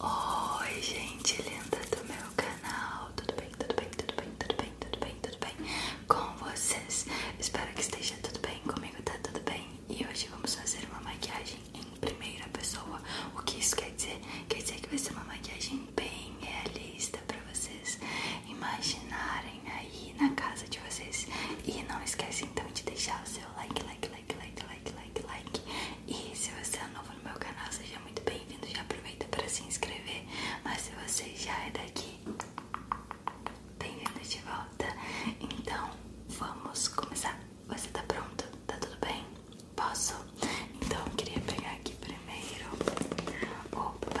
Oi gente linda do meu canal, tudo bem, tudo bem, tudo bem, tudo bem, tudo bem, tudo bem com vocês? Espero que esteja tudo bem, comigo tá tudo bem e hoje vamos fazer uma maquiagem em primeira pessoa, o que isso quer dizer? Quer dizer que vai ser uma maquiagem bem realista para vocês imaginarem aí na casa de vocês e não esquece então de deixar o seu like, like, like, like, like, like like, like. E se você é novo no meu canal, seja muito bem-vindo. Já aproveita para se inscrever. Mas se você já é daqui, bem-vindo de volta. Então, vamos começar. Você tá pronto? Tá tudo bem? Posso? Então, eu queria pegar aqui primeiro o primer.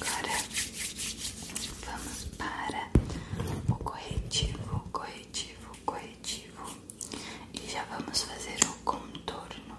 Agora vamos para o corretivo, corretivo, corretivo e já vamos fazer o contorno.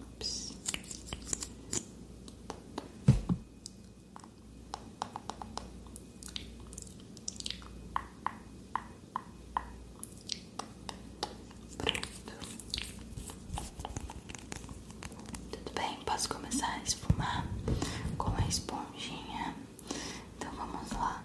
Ups. Tudo bem, posso começar a esfumar com a esponjinha. Então vamos lá.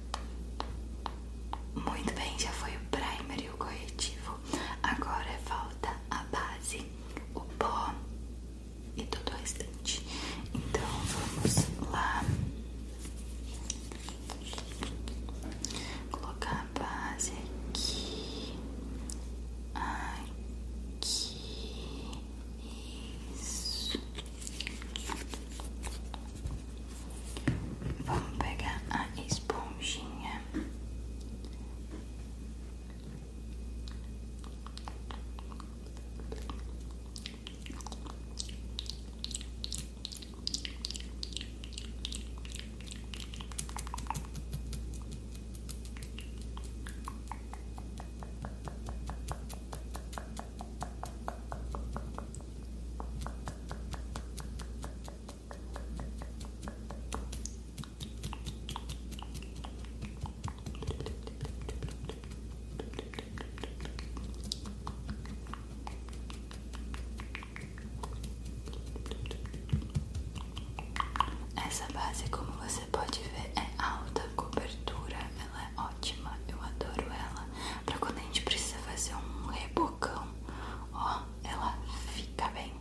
Muito bem, já foi o primer e o corretivo. Agora falta é a base, o pó e tudo o restante. Então vamos lá colocar a base aqui, aqui, isso. Vamos pegar a esponjinha. Essa base, como você pode ver, é alta cobertura, ela é ótima, eu adoro ela. para quando a gente precisa fazer um rebocão, ó, ela fica bem.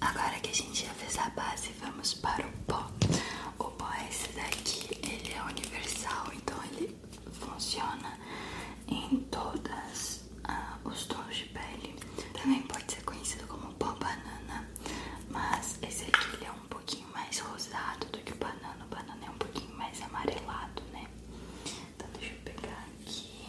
Agora que a gente já fez a base, vamos para o pó. O pó é esse daqui, ele é universal, então ele funciona em todas ah, os tons de pele. Também pode ser conhecido como pó banana, mas esse aqui ele é um pouquinho mais rosado do que o banana. O banana é um pouquinho mais amarelado, né? Então deixa eu pegar aqui.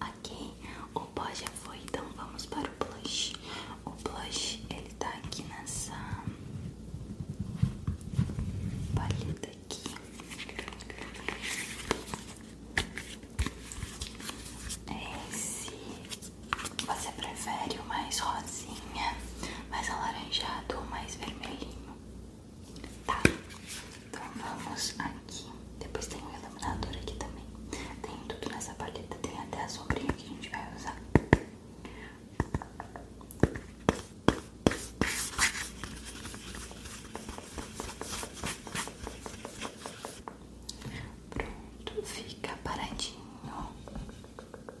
Ok, o pó já foi, então vamos para o blush. O blush ele tá aqui nessa palheta aqui. É esse você prefere o mais rosinha, mais alaranjado ou mais vermelhinho? Tá, então vamos aqui. Depois tem o iluminador aqui também. Tem tudo nessa paleta, tem até a sombrinha que a gente vai usar. Pronto, fica paradinho.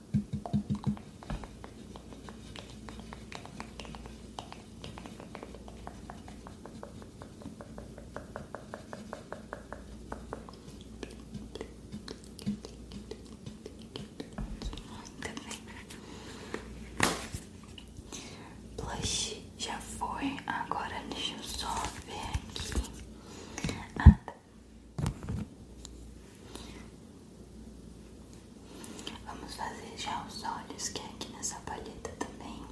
Muito bem. Blush já foi. Agora deixa eu só ver aqui. Ah, tá. Vamos fazer já os olhos, que é aqui nessa palheta também.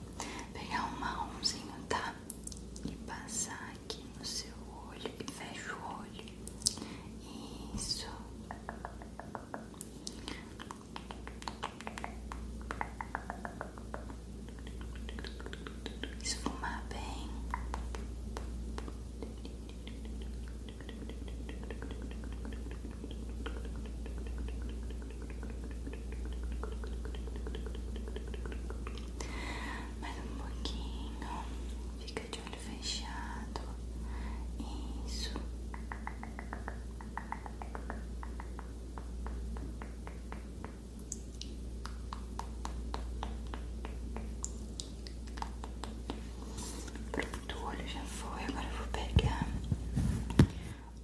Pegar um marronzinho, tá? E passar aqui no seu olho. E fecha o olho. Isso esfumar bem. Mais um pouquinho, fica de olho fechado. Isso. Pronto, o olho já foi. Agora vou pegar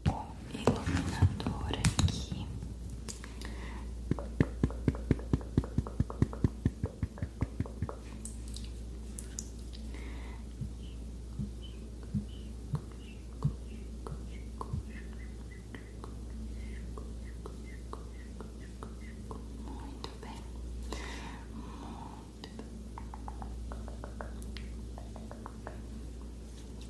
o iluminador aqui. Muito bem, muito bem.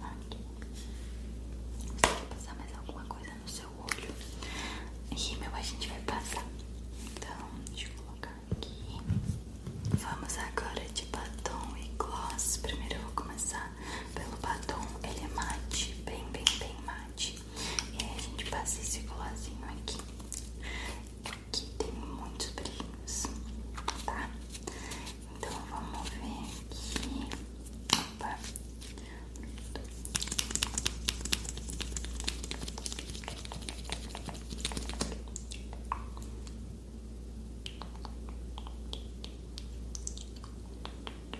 Aqui. Você quer passar mais alguma coisa no seu olho? Rímel a gente vai passar. Então, deixa eu colocar aqui. Vamos agora de batom e gloss. Primeiro eu vou começar pelo batom, ele é mate, bem, bem, bem mate. E aí a gente passa esse colorzinho aqui, que tem muitos brilhos, tá? Então vamos ver aqui. Opa.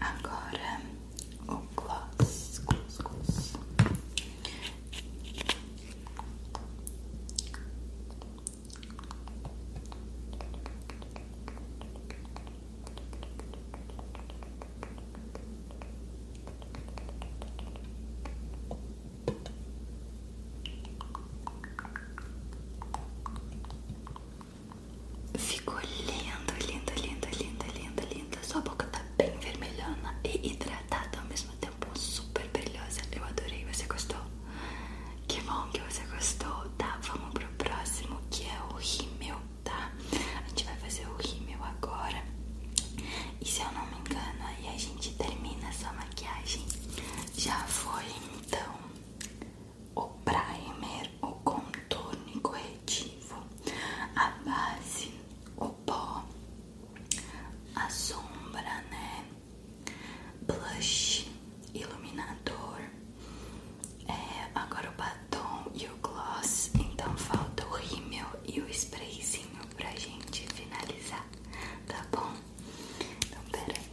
Agora o gloss, gloss, gloss. Ficou lindo, lindo, lindo, lindo, lindo, lindo. Sua boca tá bem vermelhona e hidratada ao mesmo tempo, super brilhosa. Eu adorei, você gostou? Que bom que você gostou, tá? Vamos pro próximo que é o rímel, tá? A gente vai fazer o rímel agora. E se eu não me engano, aí a gente termina essa maquiagem. Já foi então o primer, o contorno corretivo, a base, o pó, a sombra, né? blush, iluminador, é, agora o batom e o gloss. Então falta o rímel e o sprayzinho pra gente finalizar, tá bom? Então pera aí.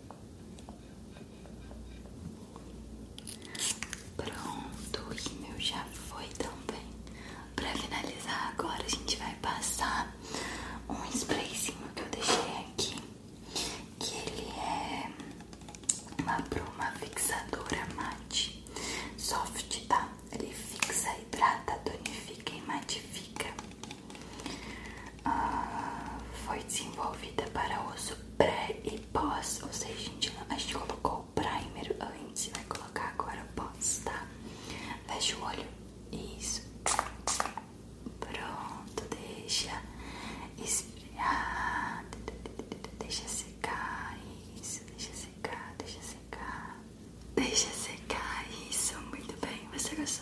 Pronto, o rímel já foi também. Pra finalizar agora a gente vai passar um sprayzinho que eu deixei aqui, que ele é uma bruma fixadora mate, soft, tá? Ele fixa, hidrata, tonifica e matifica. Ah, foi desenvolvida para uso pré e pós, ou seja, a gente, a gente colocou o primer antes e vai colocar agora o pós, tá? Fecha o olho, isso, pronto, deixa esfriar, deixa secar, isso, deixa secar, deixa secar, deixa secar, isso, muito bem, você gostou?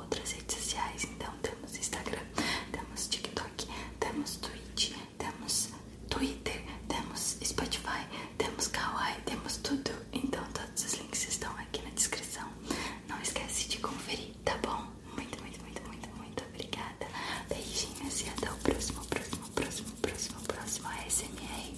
outras redes sociais. Então temos Instagram, temos TikTok, temos Twitch, temos Twitter, temos Spotify, temos Kawaii, temos tudo. Então todos os links estão aqui na descrição. Não esquece de conferir, tá bom? Muito, muito, muito, muito, muito obrigada. Beijinhos e até o próximo, próximo, próximo, próximo, próximo ASMR.